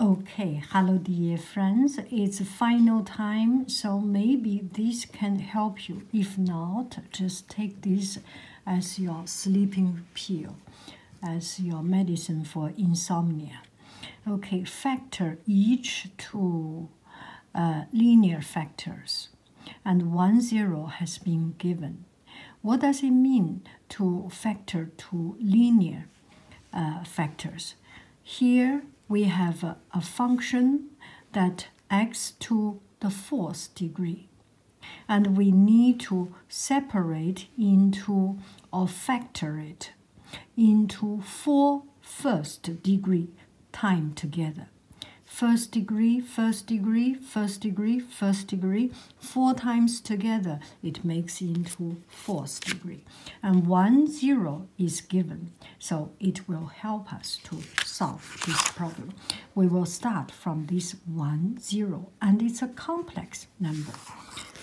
Okay, hello dear friends. It's final time, so maybe this can help you. If not, just take this as your sleeping pill, as your medicine for insomnia. Okay, factor each two uh, linear factors, and one zero has been given. What does it mean? to factor to linear uh, factors. Here we have a, a function that x to the fourth degree and we need to separate into or factor it into four first degree time together. First degree, first degree, first degree, first degree, four times together, it makes into fourth degree. And one zero is given, so it will help us to solve this problem. We will start from this one zero, and it's a complex number,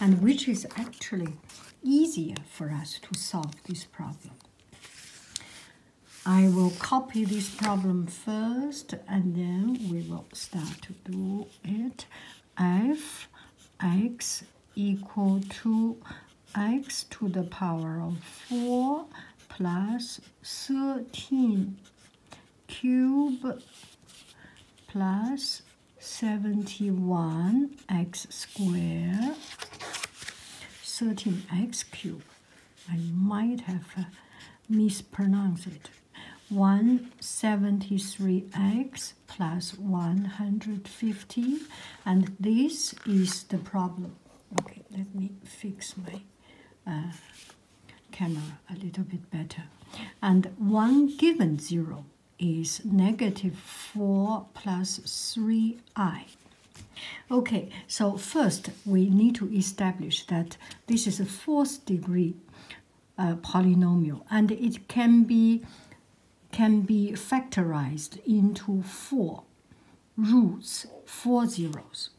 and which is actually easier for us to solve this problem. I will copy this problem first and then we will start to do it f x equal to x to the power of 4 plus 13 cube plus 71 x square 13 x cube I might have uh, mispronounced it 173x plus 150 and this is the problem okay let me fix my uh, camera a little bit better and one given zero is negative 4 plus 3i okay so first we need to establish that this is a fourth degree a uh, polynomial, and it can be can be factorized into four roots, four zeros.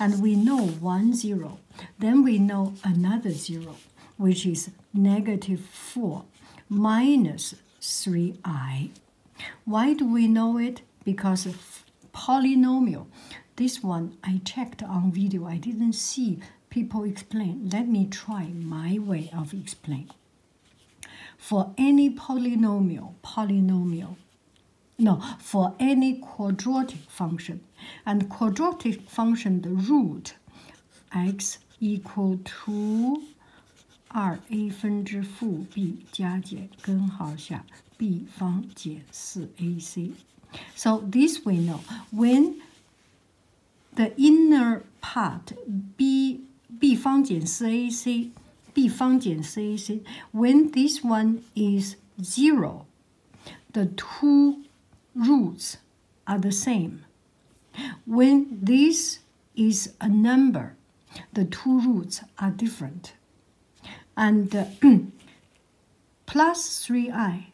And we know one zero, then we know another zero, which is negative four minus 3i. Why do we know it? Because polynomial this one I checked on video. I didn't see people explain. Let me try my way of explain. For any polynomial, polynomial, no, for any quadratic function, and quadratic function, the root, x equal to 二 a 分之负 so this we know. When the inner part B, B 方减 CAC, B 方减 CAC, when this one is zero, the two roots are the same. When this is a number, the two roots are different. And plus 3i,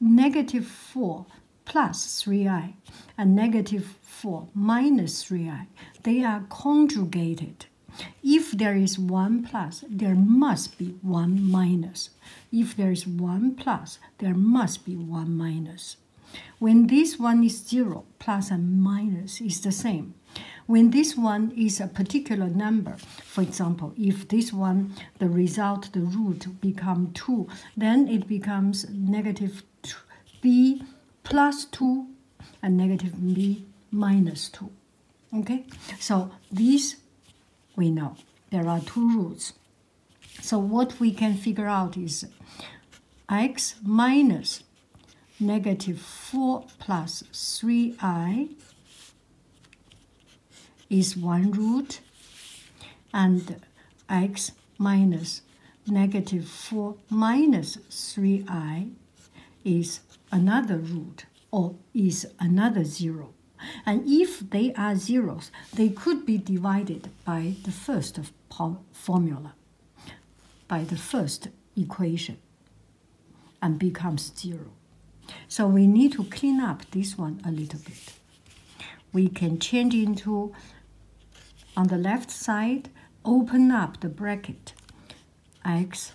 negative 4 plus 3i, and negative 4 minus 3i. They are conjugated. If there is one plus, there must be one minus. If there is one plus, there must be one minus. When this one is zero, plus and minus is the same. When this one is a particular number, for example, if this one, the result, the root become 2, then it becomes negative b plus 2 and negative b minus 2. Okay, so these we know. There are two roots. So what we can figure out is x minus negative 4 plus 3i is 1 root and x minus negative 4 minus 3i is another root or is another 0. And if they are zeros, they could be divided by the first formula, by the first equation and becomes zero. So we need to clean up this one a little bit. We can change into, on the left side, open up the bracket, x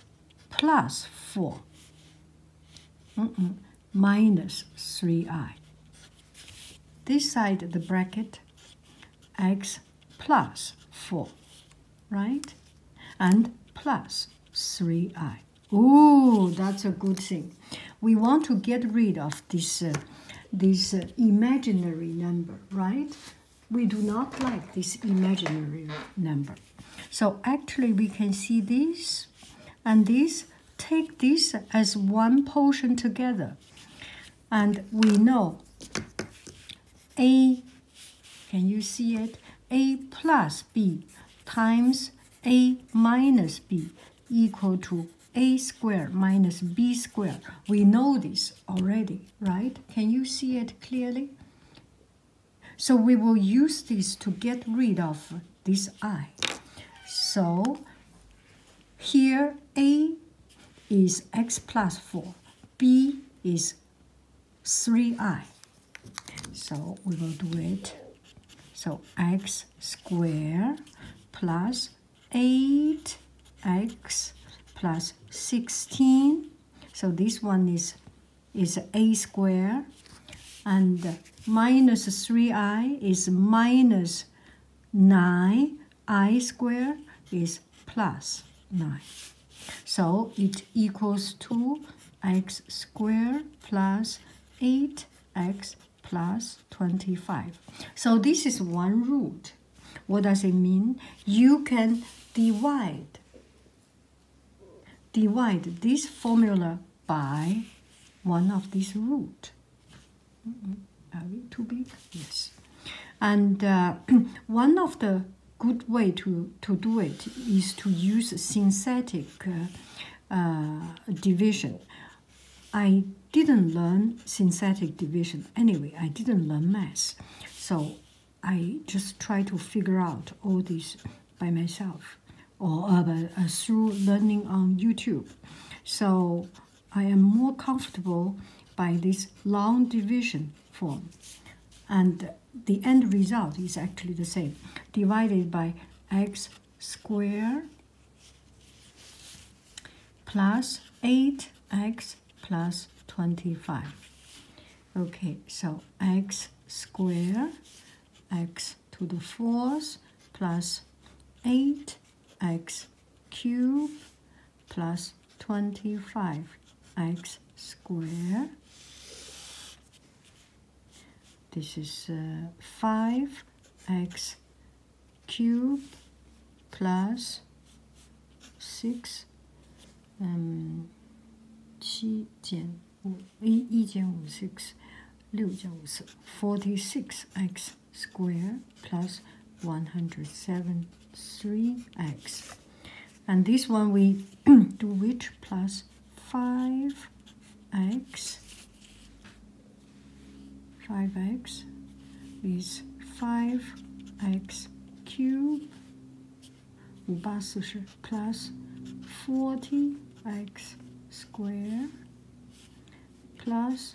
plus 4 minus 3i. This side the bracket, x plus 4 right? And plus 3i. Oh, that's a good thing. We want to get rid of this, uh, this uh, imaginary number, right? We do not like this imaginary number. So actually we can see this and this, take this as one portion together. And we know a can you see it? A plus B times A minus B equal to a square minus b square. We know this already, right? Can you see it clearly? So we will use this to get rid of this i. So here a is x plus 4, b is 3i. So we will do it. So x squared plus 8x plus 16. So this one is, is a squared. And minus 3i is minus 9i squared is 9. So it equals to x squared plus 8x plus 25. So this is one root. What does it mean? You can divide divide this formula by one of these root. Mm-hmm. Are we too big? Yes. And uh, one of the good way to, to do it is to use synthetic uh, uh, division. I didn't learn synthetic division anyway, I didn't learn math. So I just try to figure out all this by myself or uh, through learning on YouTube. So I am more comfortable by this long division form. And the end result is actually the same. Divided by x squared plus 8x plus 25. Okay, so x squared, x to the fourth plus 8x cubed plus 25x squared. This is 5x uh, cubed plus 6 um, 七减五一一减五 six 六减五四 forty six x Square 107 3x. And this one we do which plus 5x. 5x is 5x cube 五八四十 plus 40x square plus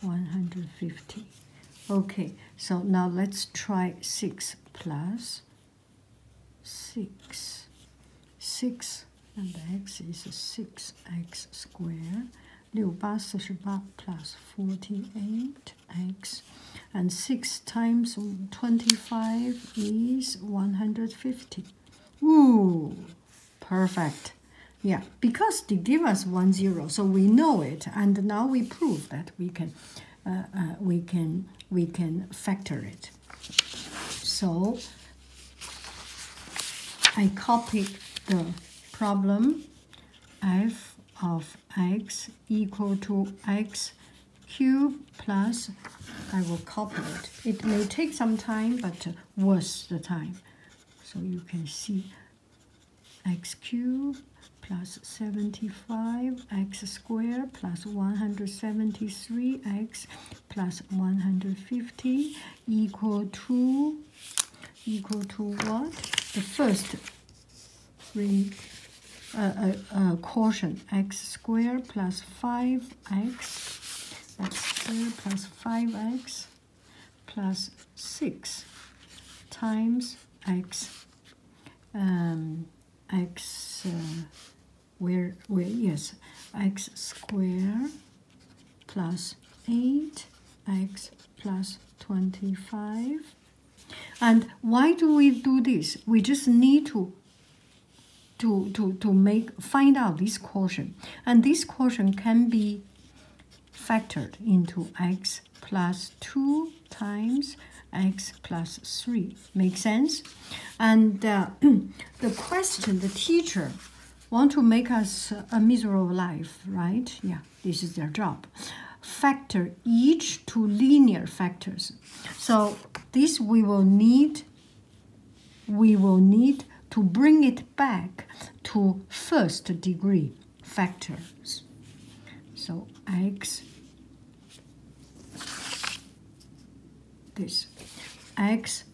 plus 150. Okay, so now let's try 6 plus 6. 6 and x is 6x squared. 68 plus 48x. And 6 times 25 is 150. Ooh, perfect. Yeah, because they give us one zero, so we know it, and now we prove that we can, uh, uh, we can, we can factor it. So I copied the problem f of x equal to x cube plus, I will copy it. It may take some time, but uh, worth the time. So you can see x cubed plus 75 x squared plus 173 x plus 150 equal to equal to what the first ring uh, caution uh, uh, x squared plus 5x x squared plus 5x plus 6 times x um, x uh, where where yes x square plus 8 x plus 25 and why do we do this we just need to to to to make find out this quotient and this quotient can be factored into x plus 2 times x plus 3. makes sense? And uh, the question, the teacher want to make us a miserable life, right? Yeah, this is their job. Factor each to linear factors. So this we will need, we will need to bring it back to first degree factors. So x, this, x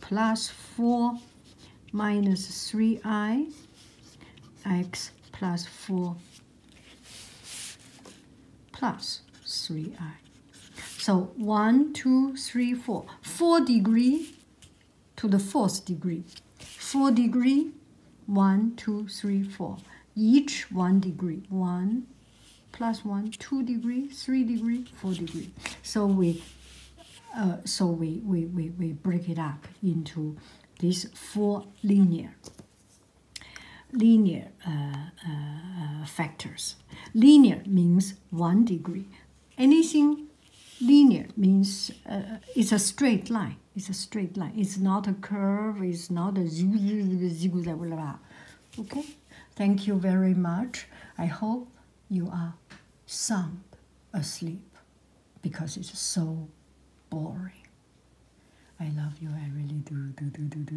plus 4 minus 3i, x plus 4 plus 3i. So 1, 2, 3, 4. 4 degree to the fourth degree. Four degree, one, two, three, four. Each one degree. One plus one, two degree, three degree, four degree. So we uh, so we, we, we, we break it up into these four linear linear uh, uh, uh, factors. Linear means one degree anything linear means it's a straight line. It's a straight line. It's not a curve. It's not a zigzag. Okay. Thank you very much. I hope you are sound asleep because it's so boring. I love you. I really do.